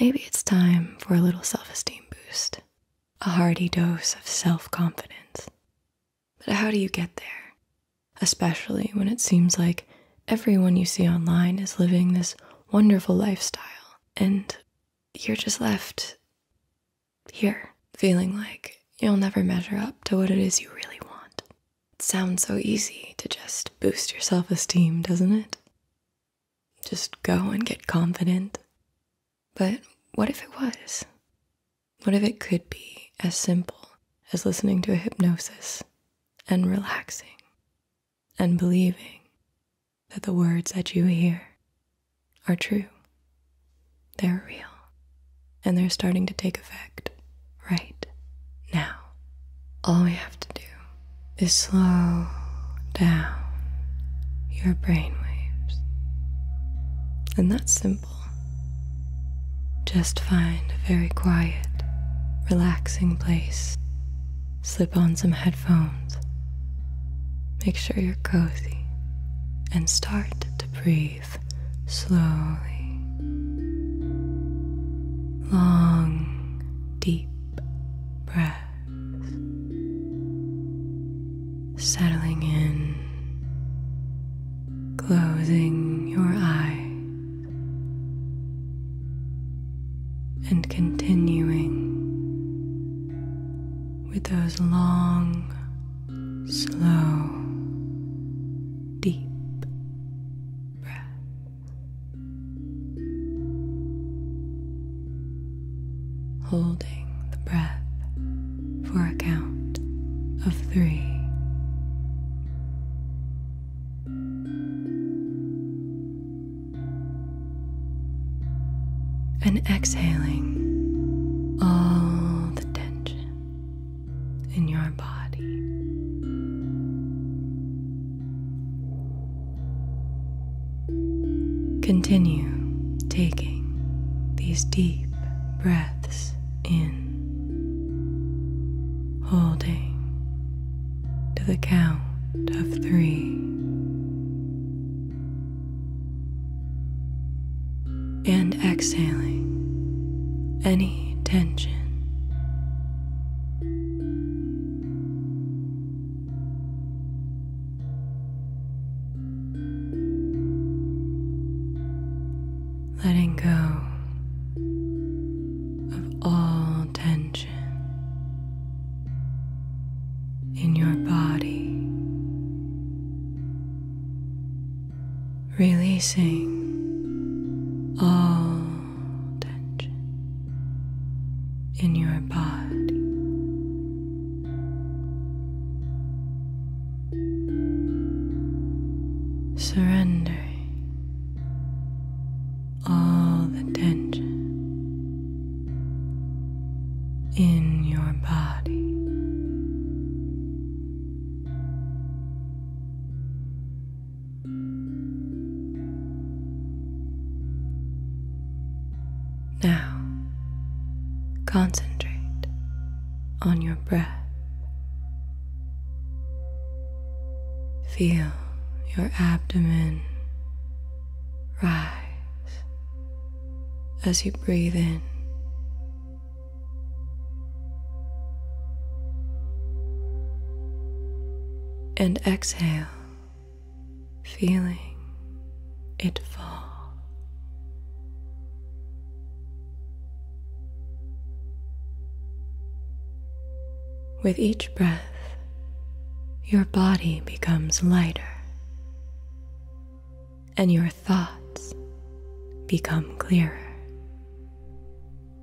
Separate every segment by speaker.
Speaker 1: Maybe it's time for a little self esteem boost, a hearty dose of self confidence. But how do you get there? Especially when it seems like everyone you see online is living this wonderful lifestyle, and you're just left here feeling like you'll never measure up to what it is you really want. It sounds so easy to just boost your self esteem, doesn't it? Just go and get confident. But what if it was? What if it could be as simple as listening to a hypnosis and relaxing and believing that the words that you hear are true? They're real and they're starting to take effect right now all we have to do is slow down your brainwaves, And that's simple. Just find a very quiet, relaxing place. Slip on some headphones. Make sure you're cozy and start to breathe slowly. Long, deep breath settling in, closing your eye, and continuing with those long, slow, deep breaths. Holding the breath for a count of three. And exhaling all the tension in your body. Continue taking these deep breaths in, holding to the count of three. And exhaling any tension letting go of all tension in your body, releasing all tension in your body. surrender all the tension in your body. Now, concentrate on your breath. Feel your abdomen rise as you breathe in. And exhale feeling it fall. With each breath, your body becomes lighter and your thoughts become clearer.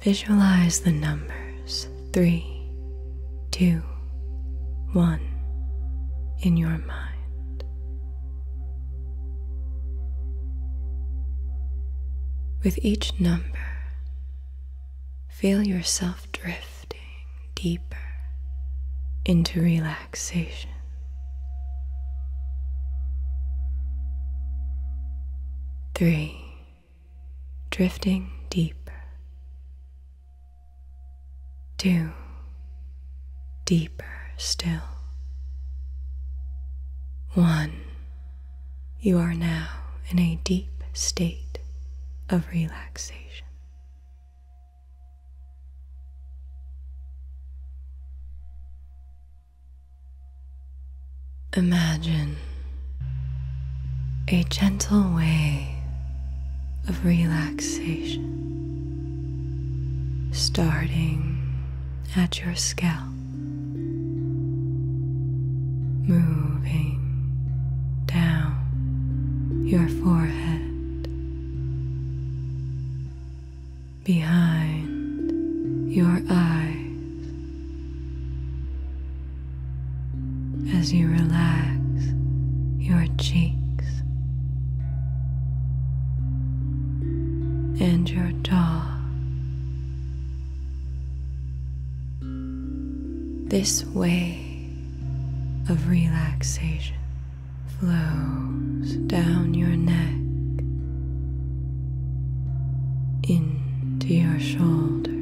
Speaker 1: Visualize the numbers three, two, one in your mind. With each number, feel yourself drifting deeper into relaxation three, drifting deep, two, deeper still, one. You are now in a deep state of relaxation. Imagine a gentle way of relaxation starting at your scalp, moving down your forehead, behind your eyes as you relax your cheeks and your jaw. This way of relaxation flows down your neck into your shoulders,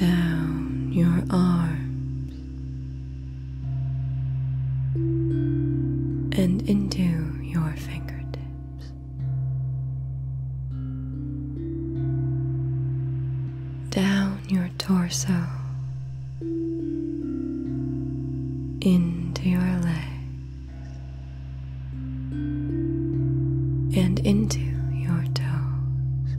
Speaker 1: down your arms, and into your fingertips, down your torso into your legs and into your toes.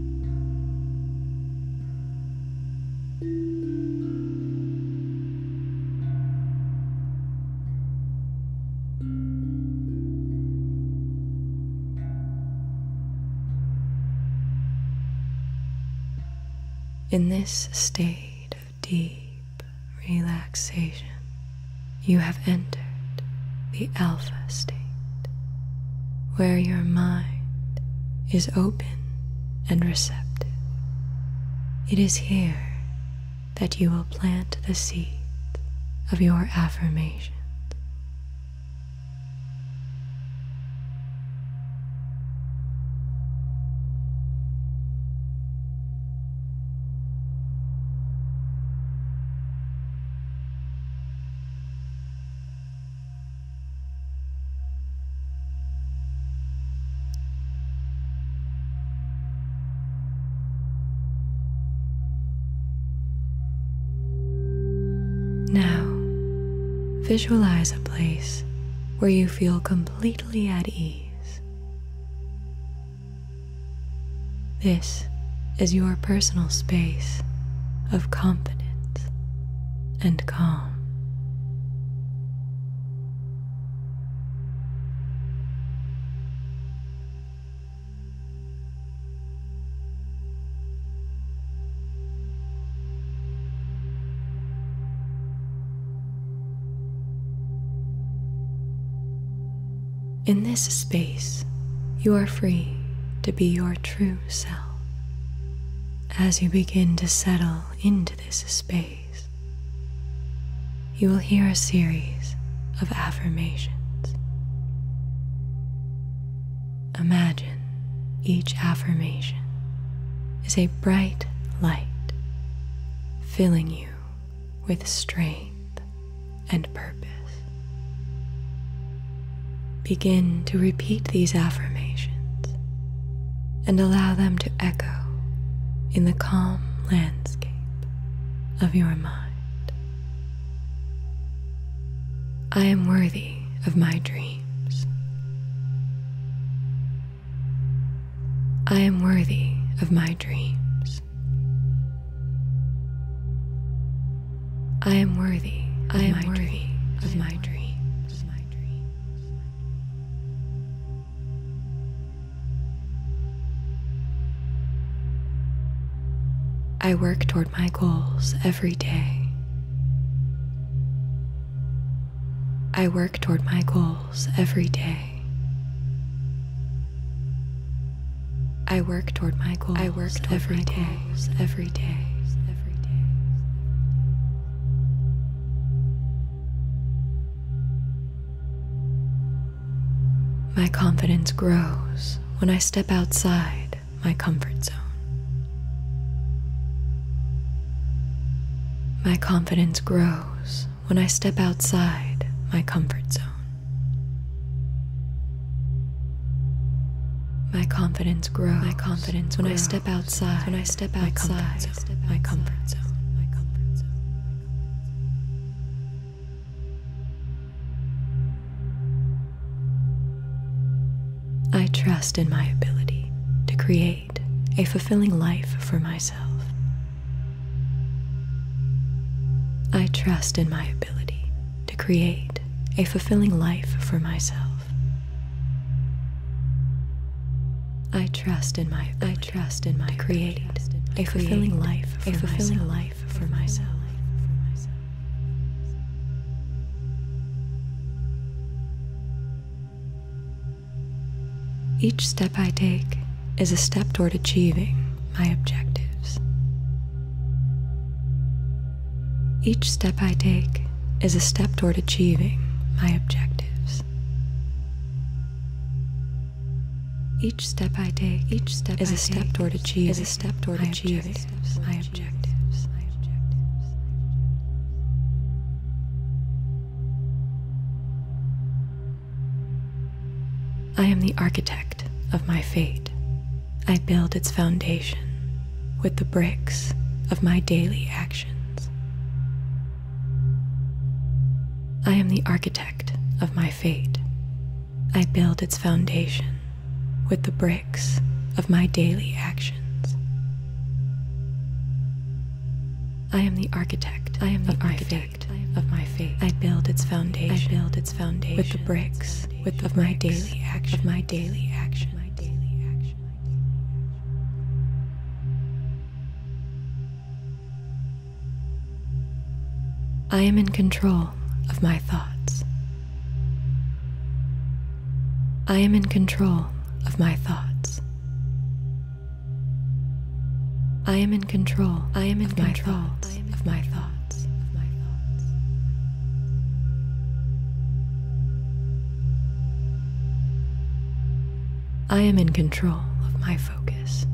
Speaker 1: In this state of deep relaxation, you have entered the alpha state, where your mind is open and receptive. It is here that you will plant the seed of your affirmations. Now, visualize a place where you feel completely at ease. This is your personal space of confidence and calm. In this space, you are free to be your true true self. As you begin to settle into this space, you will hear a series of affirmations. Imagine each affirmation is a bright light filling you with strength and purpose. Begin to repeat these affirmations and allow them to echo in the calm landscape of your mind. I am worthy of my dreams. I am worthy of my dreams. I am worthy. I am worthy dream. of my dream. I work toward my goals every day. I work toward my goals every day. I work toward my goals. I work every day. My confidence grows when I step outside my comfort zone. My confidence grows when I step outside my comfort zone. My confidence grows. My confidence when I step outside. When I step outside my comfort zone. My comfort zone. I trust in my ability to create a fulfilling life for myself. I trust in my ability to create a fulfilling life for myself. I trust in my I trust in my create a fulfilling life a fulfilling life for myself. Each step I take is a step toward achieving my objectives. Each step I take is a step toward achieving my objectives. Each step I take, each step is I a is a step toward achieving my objectives. My objectives. I am the architect of my fate. I build its foundation with the bricks of my daily actions. I am the architect of my fate. I build its foundation with the bricks of my daily actions. I am the architect. I am the architect of my fate. I build its foundation. I build its foundation with the bricks with of my daily action, of my daily action, my daily action. I am in control of my thoughts. I am in control of my thoughts. I am in control. I am in control of my thoughts. I am in control of my focus.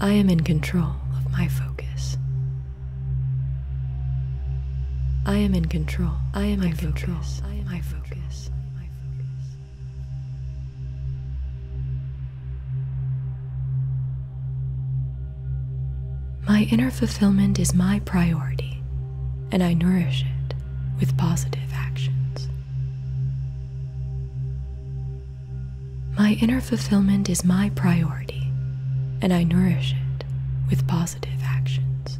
Speaker 1: I am in control of my focus. I am in control. I am my control. I am my focus. My inner fulfillment is my priority, and I nourish it with positive actions. My inner fulfillment is my priority, and I nourish it with positive actions.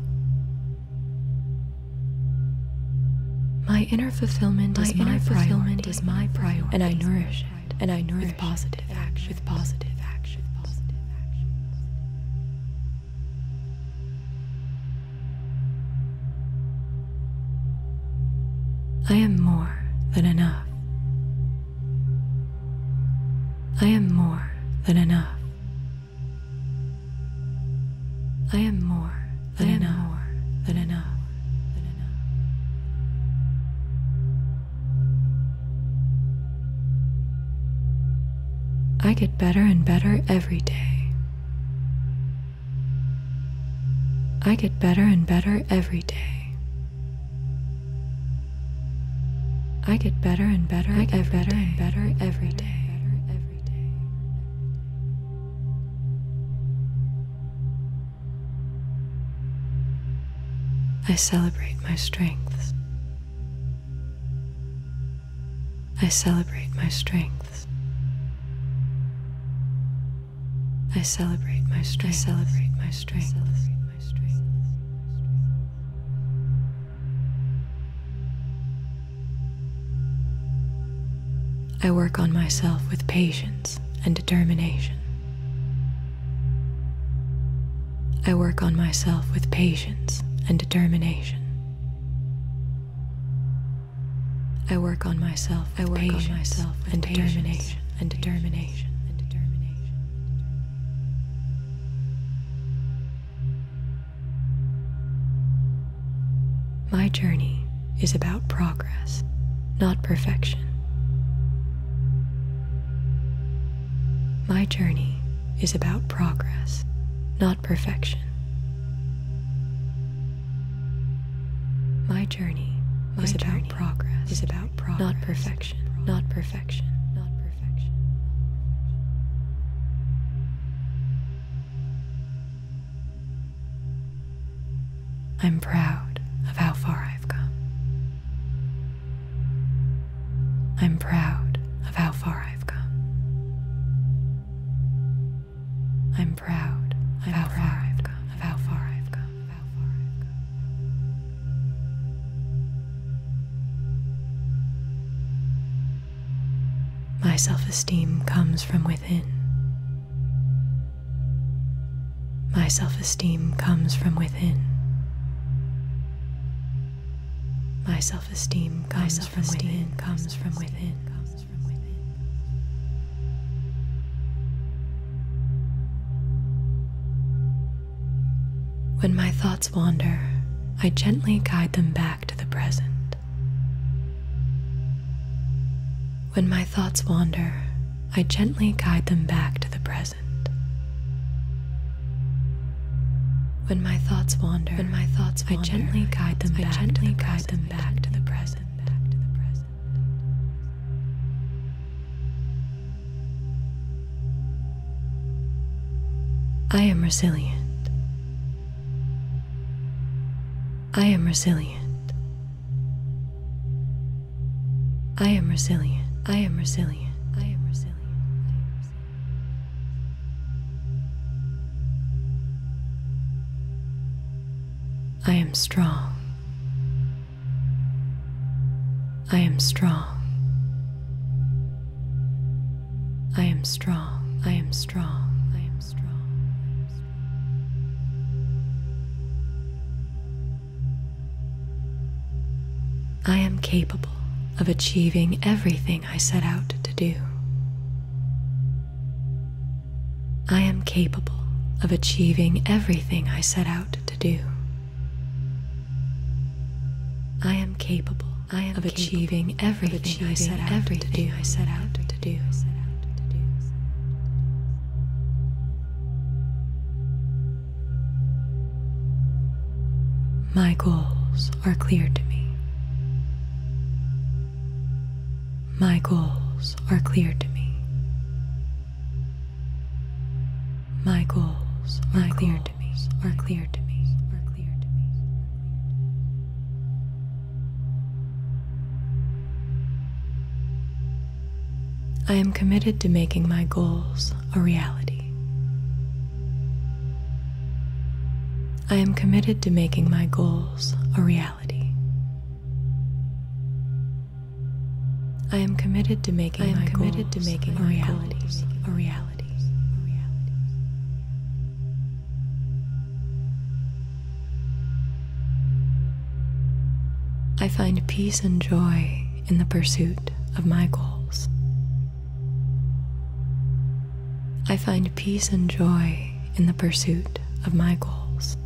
Speaker 1: My inner fulfillment, is, my priority, and I nourish and I nourish with positive action. With positive action. Positive action. I am more than enough. I am more than enough. I am more than an than an I get better and better every day. I get better and better every day. I get better and better. I and better every day. I celebrate my strengths. I celebrate my strengths. I celebrate my strengths. I work on myself with patience and determination. I work on myself with patience and determination. I work on myself. I work on myself and determination and determination. My journey is about progress, not perfection. My journey is about progress, not perfection. My journey is about progress, is about progress. not perfection. Not perfection. I'm proud of how far I've come. I'm proud of how far I've come. I'm proud of how far I've come. My self-esteem comes from within. My self esteem comes from within. My self esteem comes, from, within, When my thoughts wander, I gently guide them back to the present. When my thoughts wander, I gently guide them back to the present. When my thoughts wander, when my thoughts I gently guide them back to the present. I am resilient. I am resilient. I am resilient. I am resilient. I am resilient. I am strong. I am strong. I am strong. I am strong. I am strong. I am capable of achieving everything I set out to do. I am capable of achieving everything I set out to do. I am capable I am of achieving everything of achieving everything I set out to do to do. My goals are clear to me. My goals are clear to me. My goals Are clear to me. I am committed to making my goals a reality. I am committed to making my goals a reality. I am committed to making my Goals, a reality. I find peace and joy in the pursuit of my goals. I find peace and joy in the pursuit of my goals.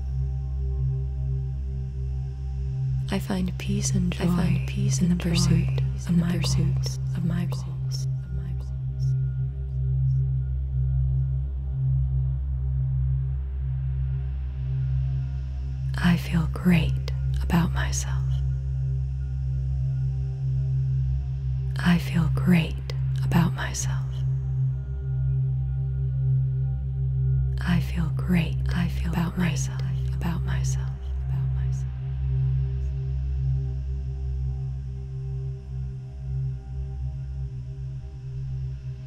Speaker 1: I find peace and joy I find peace in the pursuit of my pursuit of my goals. I feel great about myself. I feel great about myself. I feel great. I feel about myself. About myself. About myself.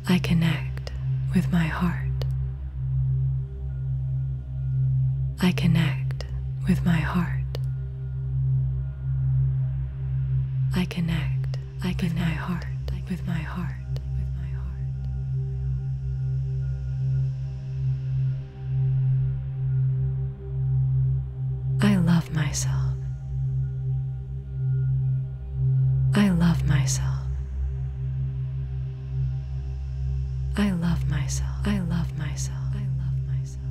Speaker 1: I connect with my heart. I connect with my heart. I connect. I connect with my heart. With my heart. With my heart. I love myself. I love myself.
Speaker 2: I love myself. I love myself.
Speaker 1: I love myself.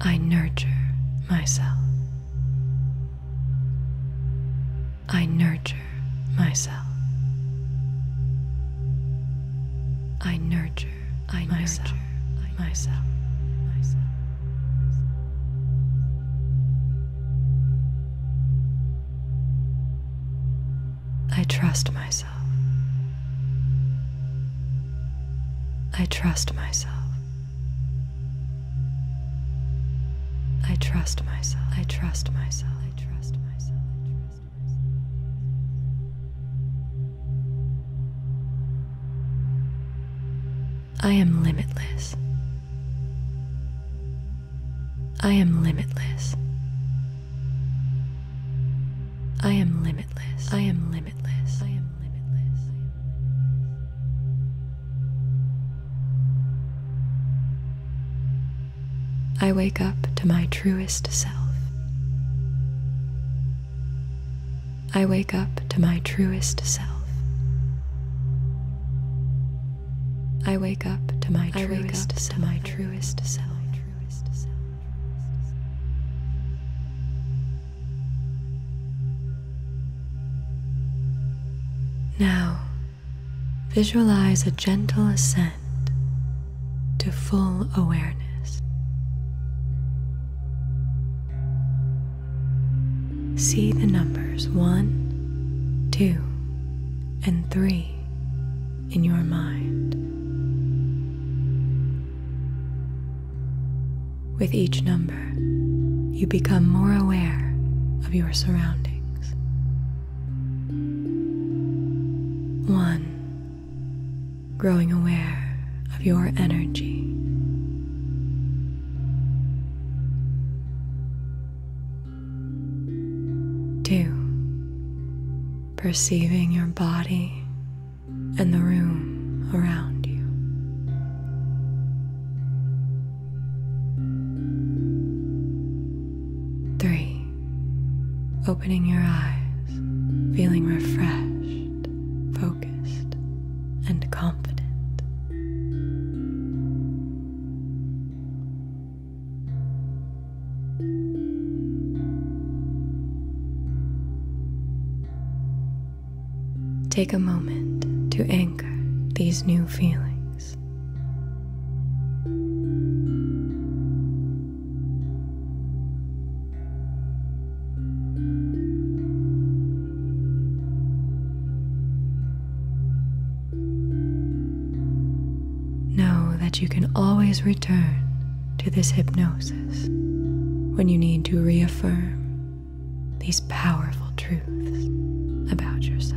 Speaker 1: I nurture myself. I nurture myself myself. I nurture, I myself, nurture I myself. myself. I trust myself. I trust myself. I trust myself. I trust myself. I trust myself. I trust myself. I am limitless. I am limitless. I am limitless. I am limitless. I wake up to my truest self. I wake up to my truest self. I wake up to my truest self. To my truest self. Now, visualize a gentle ascent to full awareness. See the numbers 1, 2, and 3 in your mind. With each number, you become more aware of your surroundings. 1 growing aware of your energy. Two, perceiving your body and the room around you. Three, opening your eyes, feeling refreshed, focused, and confident. Take a moment to anchor these new feelings. Know that you can always return to this hypnosis when you need to reaffirm these powerful truths about yourself.